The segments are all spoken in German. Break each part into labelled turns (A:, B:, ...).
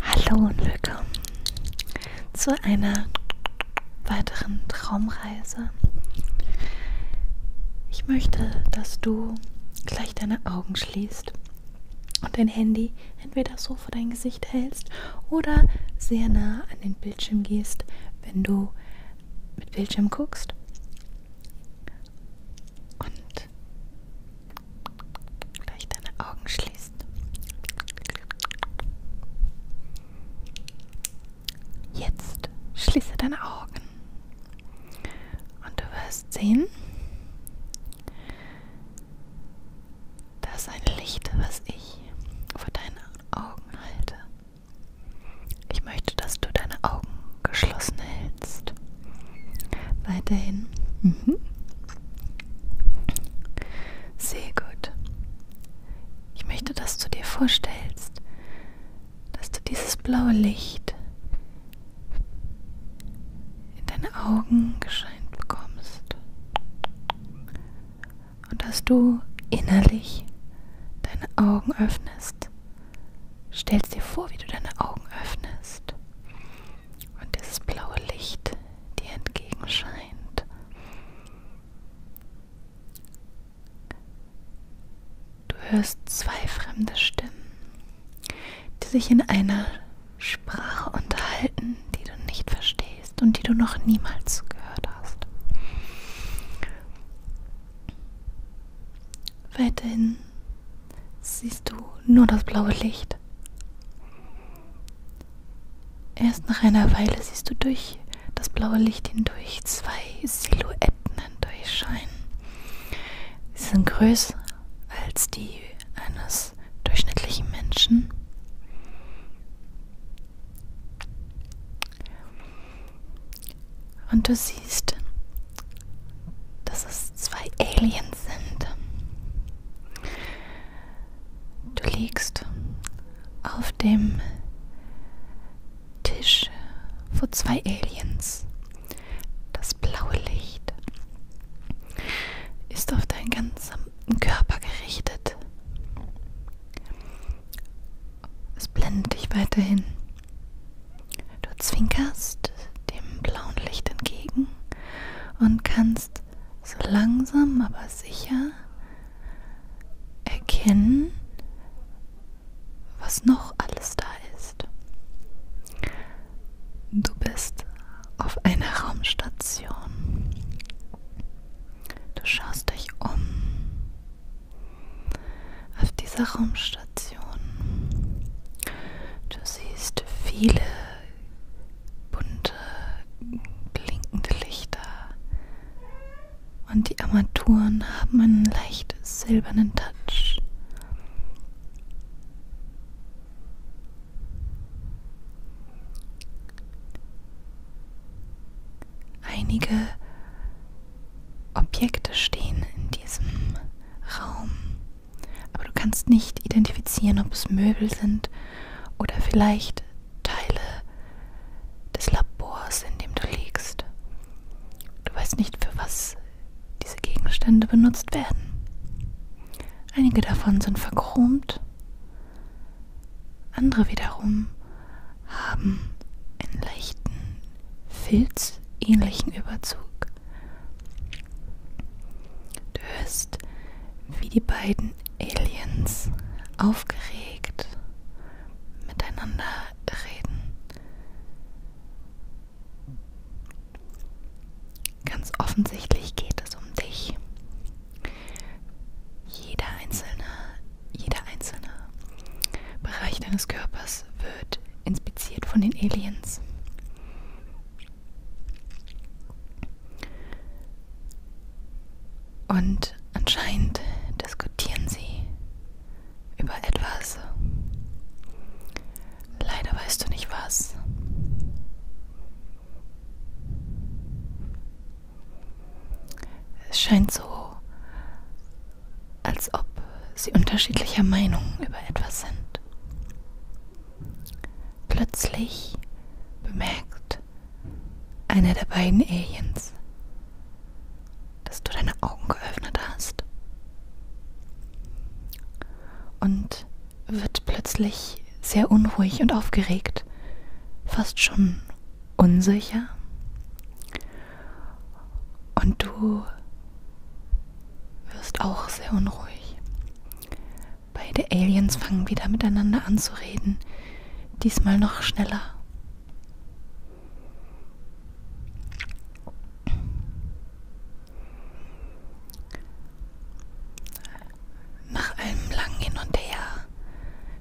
A: Hallo und willkommen zu einer weiteren Traumreise. Ich möchte, dass du gleich deine Augen schließt und dein Handy entweder so vor dein Gesicht hältst oder sehr nah an den Bildschirm gehst, wenn du mit Bildschirm guckst. Und gleich deine Augen schließt. Jetzt schließe deine Augen und du wirst sehen, dass ein Licht, was ich vor deinen Augen halte. Ich möchte, dass du deine Augen geschlossen hältst. Weiterhin. Mhm. Sehr gut. Ich möchte, dass du dir vorstellst, dass du dieses blaue Licht in deine Augen gescheint bekommst und dass du innerlich deine Augen öffnest. Stellst dir vor, wie du deine Augen öffnest und dieses blaue Licht dir entgegenscheint. Du hörst zwei fremde Stimmen, die sich in einer Sprache unterhalten, die du nicht verstehst und die du noch niemals gehört hast. Weiterhin Oben siehst du nur das blaue Licht. Erst nach einer Weile siehst du durch das blaue Licht hindurch zwei Silhouetten hindurchscheinen. Sie sind größer als die eines durchschnittlichen Menschen. Und du siehst, dass es zwei Aliens sind. Du liegst auf dem Tisch vor zwei Aliens. Das blaue Licht ist auf deinen ganzen Körper gerichtet. Es blendet dich weiterhin. Du zwinkerst dem blauen Licht entgegen und kannst so langsam aber sicher erkennen, was noch alles da ist. Du bist auf einer Raumstation. Du schaust dich um auf dieser Raumstation. Du siehst viele bunte, blinkende Lichter und die Armaturen haben einen leicht silbernen Touch. Einige Objekte stehen in diesem Raum, aber du kannst nicht identifizieren, ob es Möbel sind oder vielleicht Teile des Labors, in dem du liegst. Du weißt nicht, für was diese Gegenstände benutzt werden. Einige davon sind verchromt, andere wiederum haben einen leichten filzähnlichen Überzug. Du hörst, wie die beiden Aliens aufgeregt miteinander reden. Ganz offensichtlich geht es um dich. Jeder einzelne, jeder einzelne Bereich deines Körpers wird wird inspiziert von den Aliens. Und anscheinend diskutieren sie über etwas. Leider weißt du nicht was. Es scheint so, als ob sie unterschiedlicher Meinung über etwas sind. Plötzlich bemerkt einer der beiden Aliens, dass du deine Augen geöffnet hast und wird plötzlich sehr unruhig und aufgeregt, fast schon unsicher und du wirst auch sehr unruhig. Beide Aliens fangen wieder miteinander an zu reden, diesmal noch schneller. Nach einem langen Hin und Her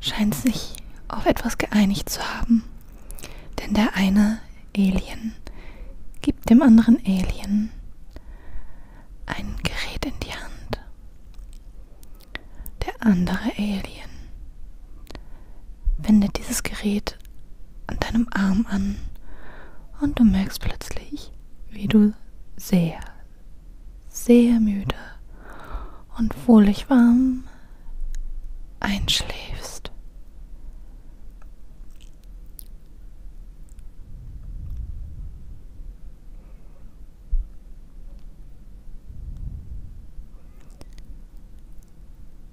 A: scheint sich auf etwas geeinigt zu haben. Denn der eine Alien gibt dem anderen Alien ein Gerät in die Hand. Der andere Alien wendet dieses Gerät an deinem Arm an und du merkst plötzlich, wie du sehr, sehr müde und wohlig warm einschläfst.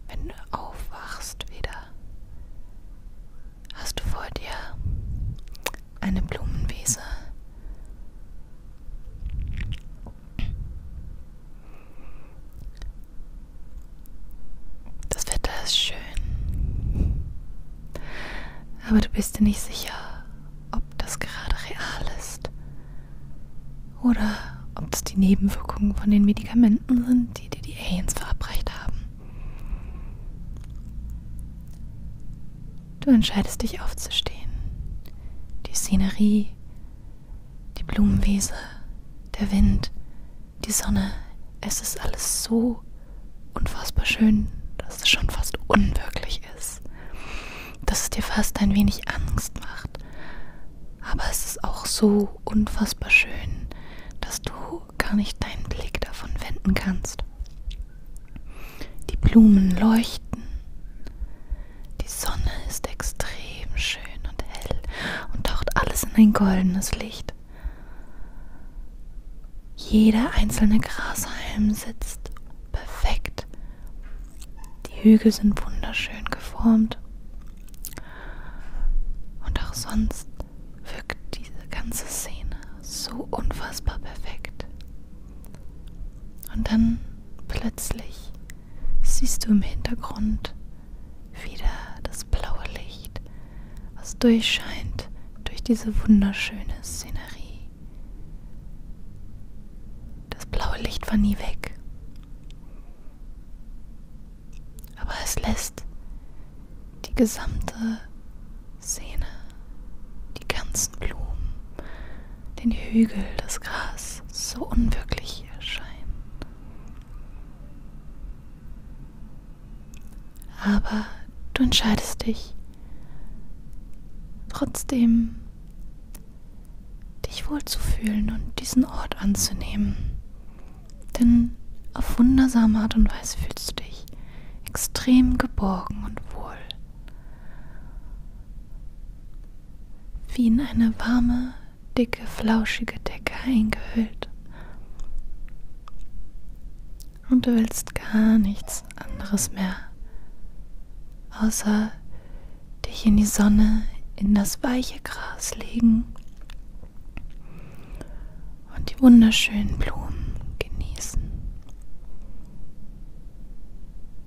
A: Wenn du aufwachst wieder, hast du vor dir eine Blumenwiese. Das Wetter ist schön. Aber du bist dir nicht sicher, ob das gerade real ist. Oder ob das die Nebenwirkungen von den Medikamenten sind, die dir die Aliens verabreicht haben. Du entscheidest dich aufzustehen. Die Szenerie die Blumenwiese, der Wind, die Sonne, es ist alles so unfassbar schön, dass es schon fast unwirklich ist. Dass es dir fast ein wenig Angst macht. Aber es ist auch so unfassbar schön, dass du gar nicht deinen Blick davon wenden kannst. Die Blumen leuchten. Die Sonne ist extrem schön und hell und taucht alles in ein goldenes Licht. Jeder einzelne Grashalm sitzt perfekt. Die Hügel sind wunderschön geformt. Und auch sonst wirkt diese ganze Szene so unfassbar perfekt. Und dann plötzlich siehst du im Hintergrund wieder das blaue Licht, was durchscheint durch diese wunderschöne Szenerie. Das blaue Licht war nie weg, aber es lässt die gesamte Szene, die ganzen Blumen, den Hügel, das Gras so unwirklich erscheinen. Aber du entscheidest dich trotzdem, dich wohlzufühlen und diesen Ort anzunehmen. Denn auf wundersame Art und Weise fühlst du dich extrem geborgen und wohl wie in eine warme, dicke, flauschige Decke eingehüllt. Und du willst gar nichts anderes mehr, außer dich in die Sonne, in das weiche Gras legen und die wunderschönen Blumen genießen.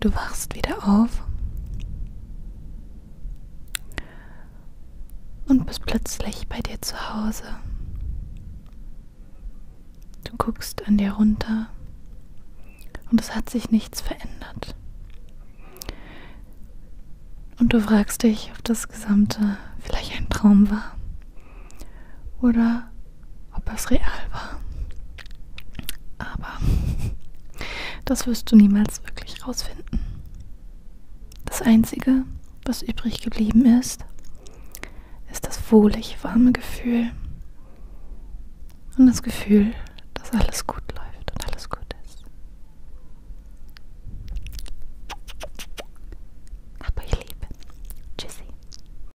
A: Du wachst wieder auf und bist plötzlich bei dir zu Hause. Du guckst an dir runter und es hat sich nichts verändert. Und du fragst dich, ob das Gesamte vielleicht ein Traum war oder ob es real war. Aber das wirst du niemals wirklich rausfinden. Das Einzige, was übrig geblieben ist, ist das wohlig warme Gefühl und das Gefühl, dass alles gut läuft und alles gut ist. Aber ich liebe. Tschüssi.